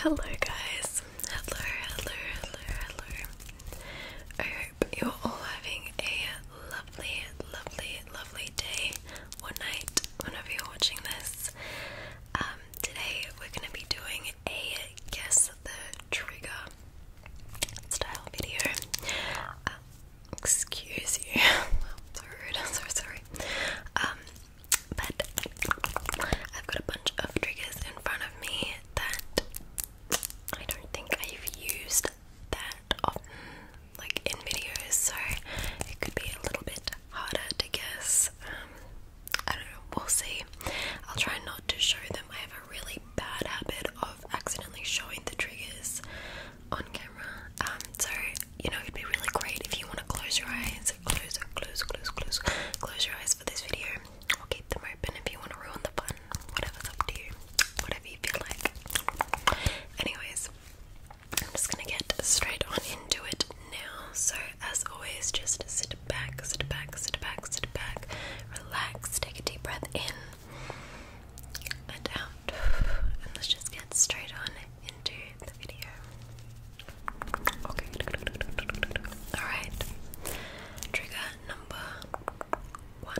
Hello, guys. Hello, hello, hello, hello. I hope you're all having a lovely, lovely, lovely day One night whenever you're watching this. Um, today we're going to be doing a guess the trigger style video. Um, excuse you, so I'm sorry. Um, but I've got a bunch of triggers in front of me that I don't think I've used that like in videos, so it could be a little bit harder to guess. Um, I don't know, we'll see. I'll try not to show them. I have a really bad habit of accidentally showing the triggers on camera. Um, so you know, it'd be really great if you want to close your eyes, close, close, close, close, close your eyes for this video, or keep them open if you want to ruin the fun. Whatever's up to you, whatever you feel like. Anyways, I'm just gonna get straight on into it now. So, as always, just sit back, sit back, sit back, sit back, relax, take a deep breath in and out, and let's just get straight on into the video. Okay, alright, trigger number one.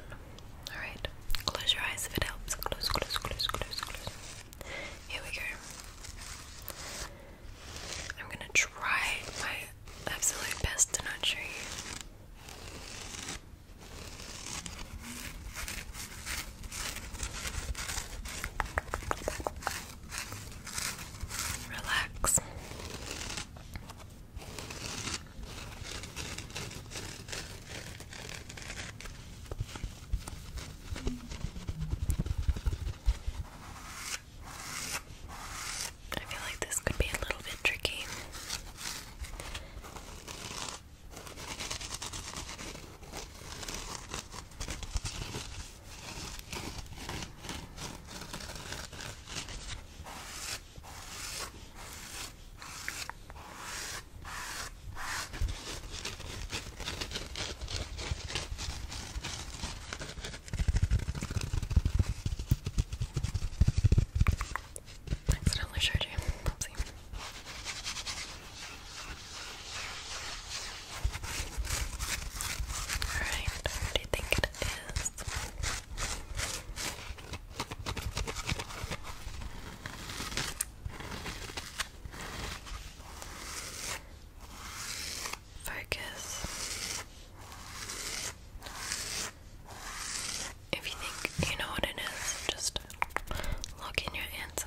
Alright, close your eyes if it helps. Close, close, close, close, close. Here we go. I'm gonna try my absolute best to not show you. Relax. I feel like this could be a little bit tricky. I accidentally showed you. Oopsie. Alright, what do you think it is? Focus. If you think you know what it is, just lock in your answer.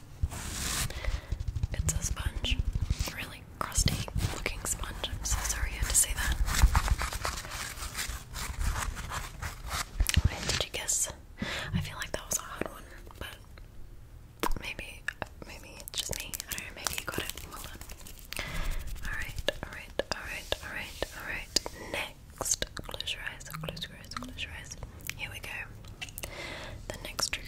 It's a sponge. Really crusty looking sponge. I'm so sorry I had to say that. And did you guess? I feel like that was a hard one, but maybe, maybe it's just me. I don't know, maybe you got it. Hold on. Alright, alright, alright, alright, alright. Next. Close your eyes, close your eyes, close your eyes. Here we go. The next trigger.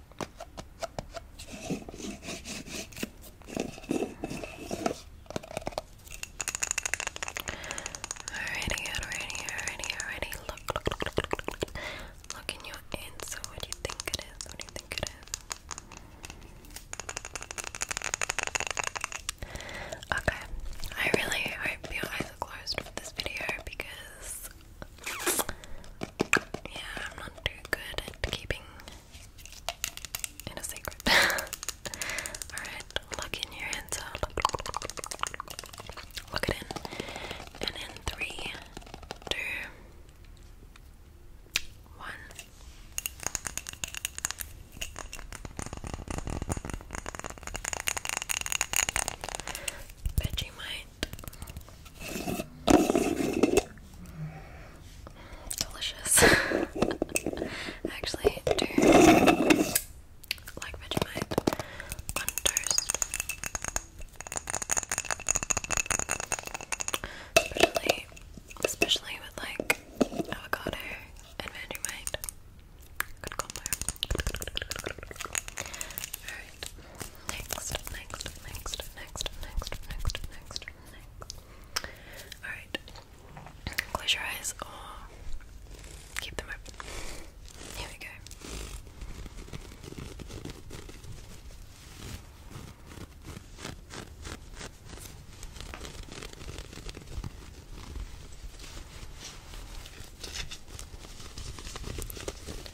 Alrighty, alrighty, alrighty, alrighty. Look, look, look, look, look, look. in your answer. What do you think it is? What do you think it is? Okay, I really hope your eyes are closed for this video because yeah, I'm not too good at keeping it a secret. Alright, look in your hands. Look it in. And in three, two, one. Vegemite Delicious. actually like Vegemite Especially especially with like avocado and Vegemite. Next, next, next, next, next, next, next, next. Alright. Close your eyes or keep them open. Here we go.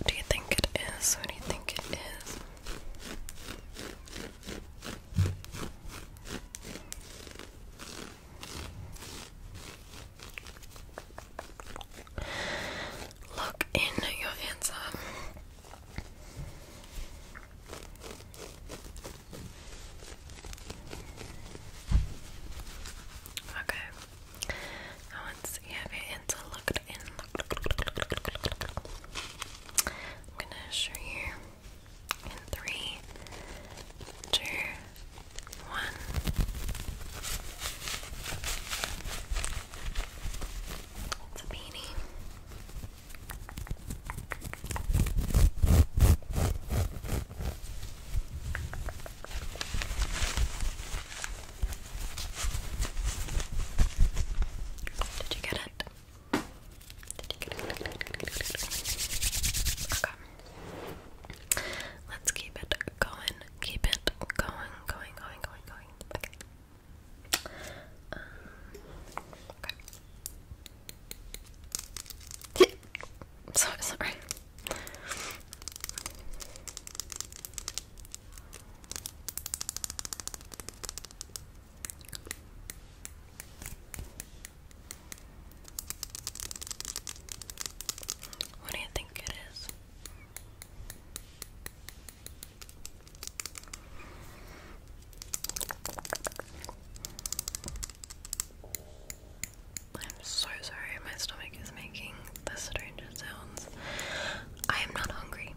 What do you think it is? What do you think it is? Look in your answer. Okay. I want to see your answer locked I'm gonna show you in three, two, one. It's a beanie. Did you get it? Okay. Let's keep it going. Keep it going, going, going, going, going. Okay. Um, okay. so sorry. What do you think it is? I'm so sorry, my stomach is making the strangest sounds. I am not hungry.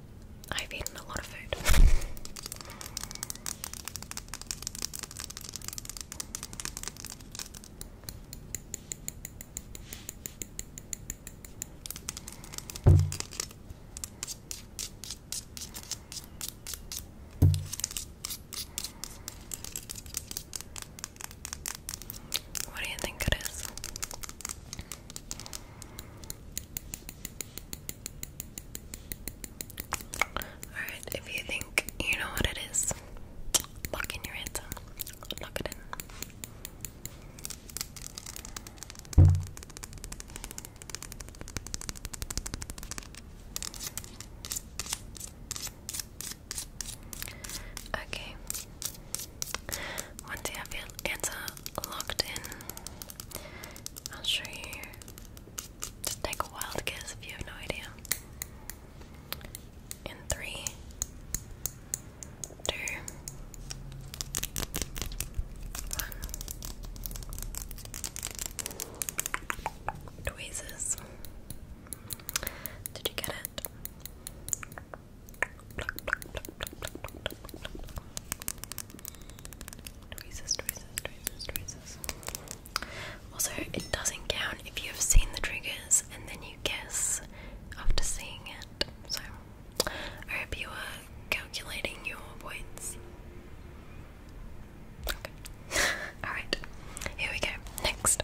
I've eaten a lot of food. What do you think it is? Alright, if you think you know what it is, lock in your answer. Lock it in. Okay. Once you have your answer, Locked in. I'll show you. take a wild guess if you have no idea. In three, two, one. Tweezers. Did you get it? Resist, Also, it doesn't count if you have seen the triggers and then you guess after seeing it. So, I hope you are calculating your points. Okay. Alright, here we go. Next.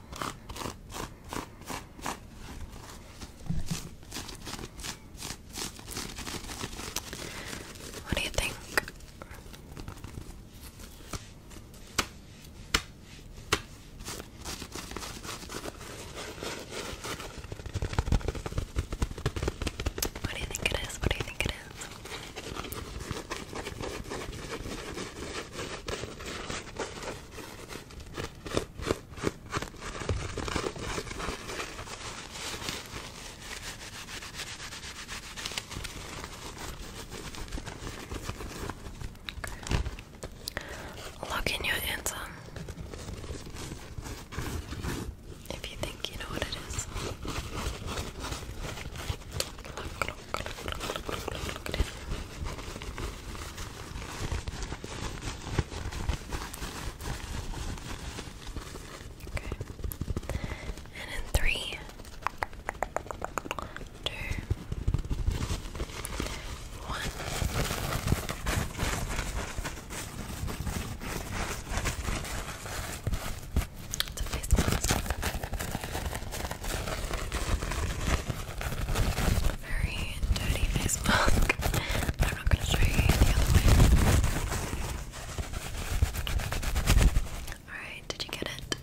What do you think? What do you think it is? What do you think it is? Look in your answer if you think you know what it is. Okay. And in three, two, one very dirty face mask. I'm not going to show you the other way. Alright, did you get it?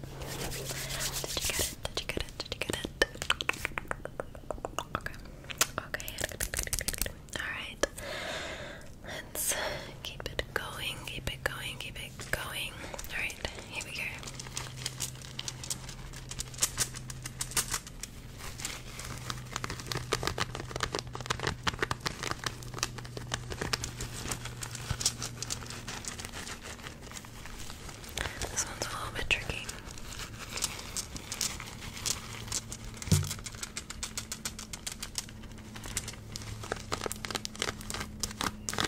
Did you get it? Did you get it? Did you get it? Okay. Okay. Alright. Let's keep it going, keep it going, keep it going. Alright, here we go. This one's a little bit tricky. I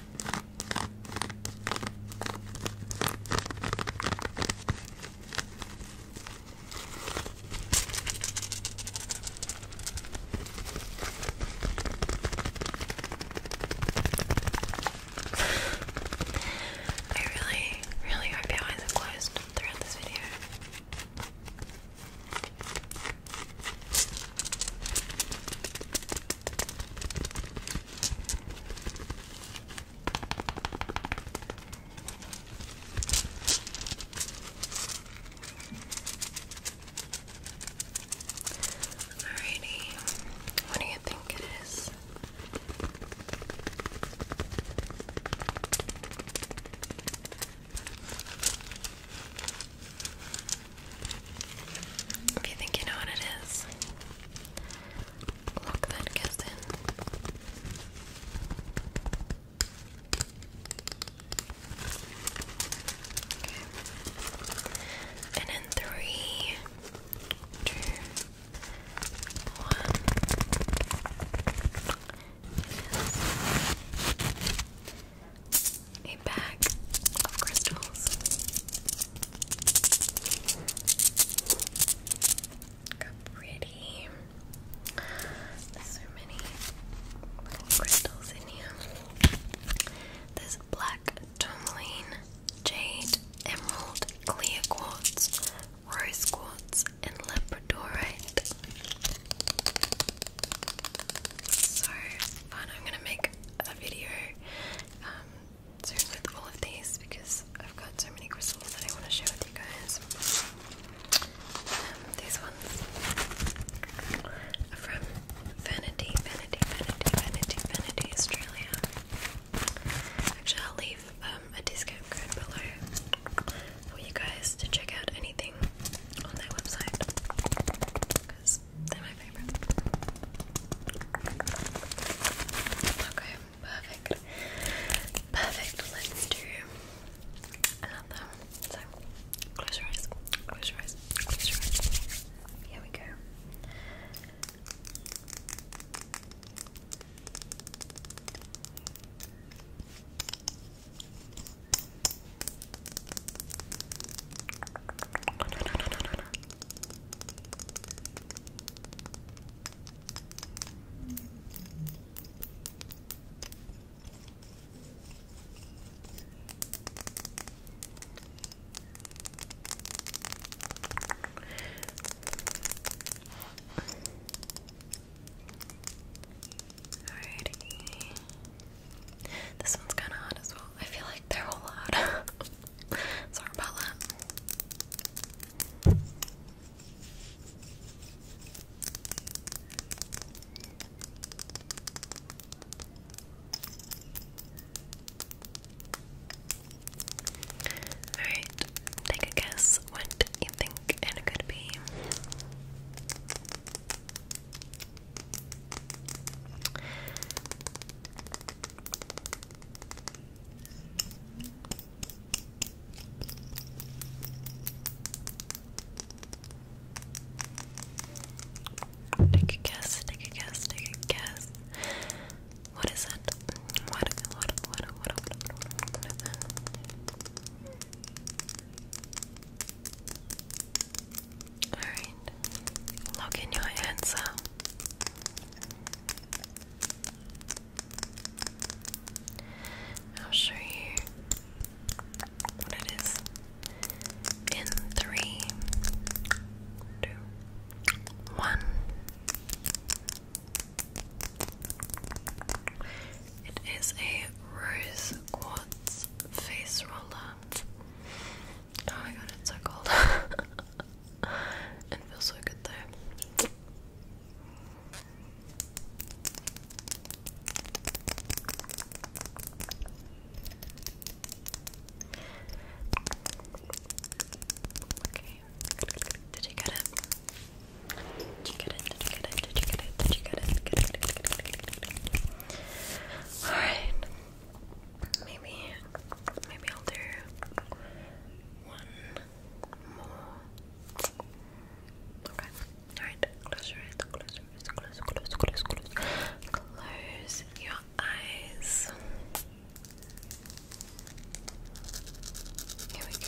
really, really hope your eyes are closed throughout this video. Alrighty, what do you think it is? If you think you know what it is, lock that kiss in. And in three, two, one. A bag of crystals. Got pretty. So many crystals in here. There's black tourmaline, jade, emerald, clear quartz, rose quartz, and labradorite. So fun! I'm gonna make a video um, seriously with all of these because I've got so many crystals that I want to share with you guys. Um, these ones from Vanity, Vanity, Vanity, Vanity, Vanity Australia. Actually, I'll leave um, a discount code below for you guys to check out anything on their website they're my favorite. Okay, perfect. Perfect. Let's do another. So, close your eyes. Close your eyes. Close your eyes. Here we go. Alrighty. This one's kind of hot as well. I feel like they're all hot. Sorry about that. Alright, take a guess what you think it could be. Take a guess, take a guess, take a guess. What is it? What, what, what, what, what, Alright. Lock in your answer. I'll show you what it is in three, two, one. It is a rose quartz face roller. Oh my god, it's so cold. it feels so good though. Okay. Did you get it? Did you get it? Did you get it? Did you get it? Did you get it? Alright. Maybe, maybe I'll do one more. Okay. Alright, close your eyes, close your eyes, close, close, close, close. Close your eyes. Here we go.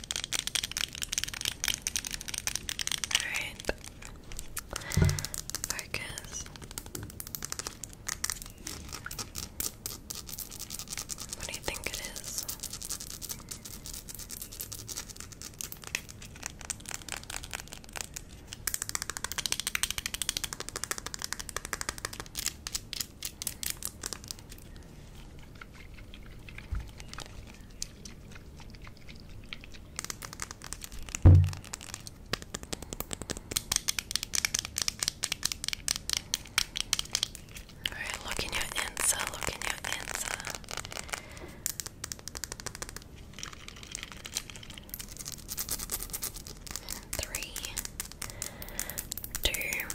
Alright. Focus. What do you think it is? Alright, look in your answer, look in your answer. Three, two,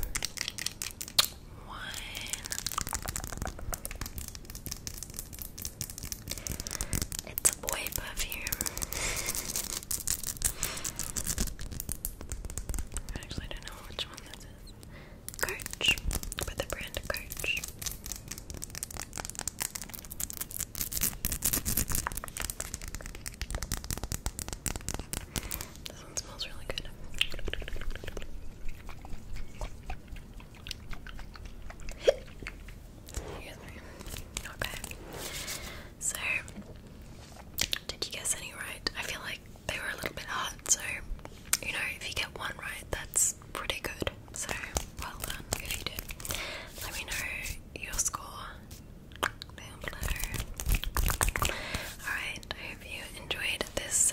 one. It's a boy perfume. I don't know which one this is. Kirch, but the brand Kirch. This smells really good. So, did you guess any right? I feel like they were a little bit hard, so you know, if you get one right, that's pretty good. So, well done if you did. Let me know your score Alright, I hope you enjoyed this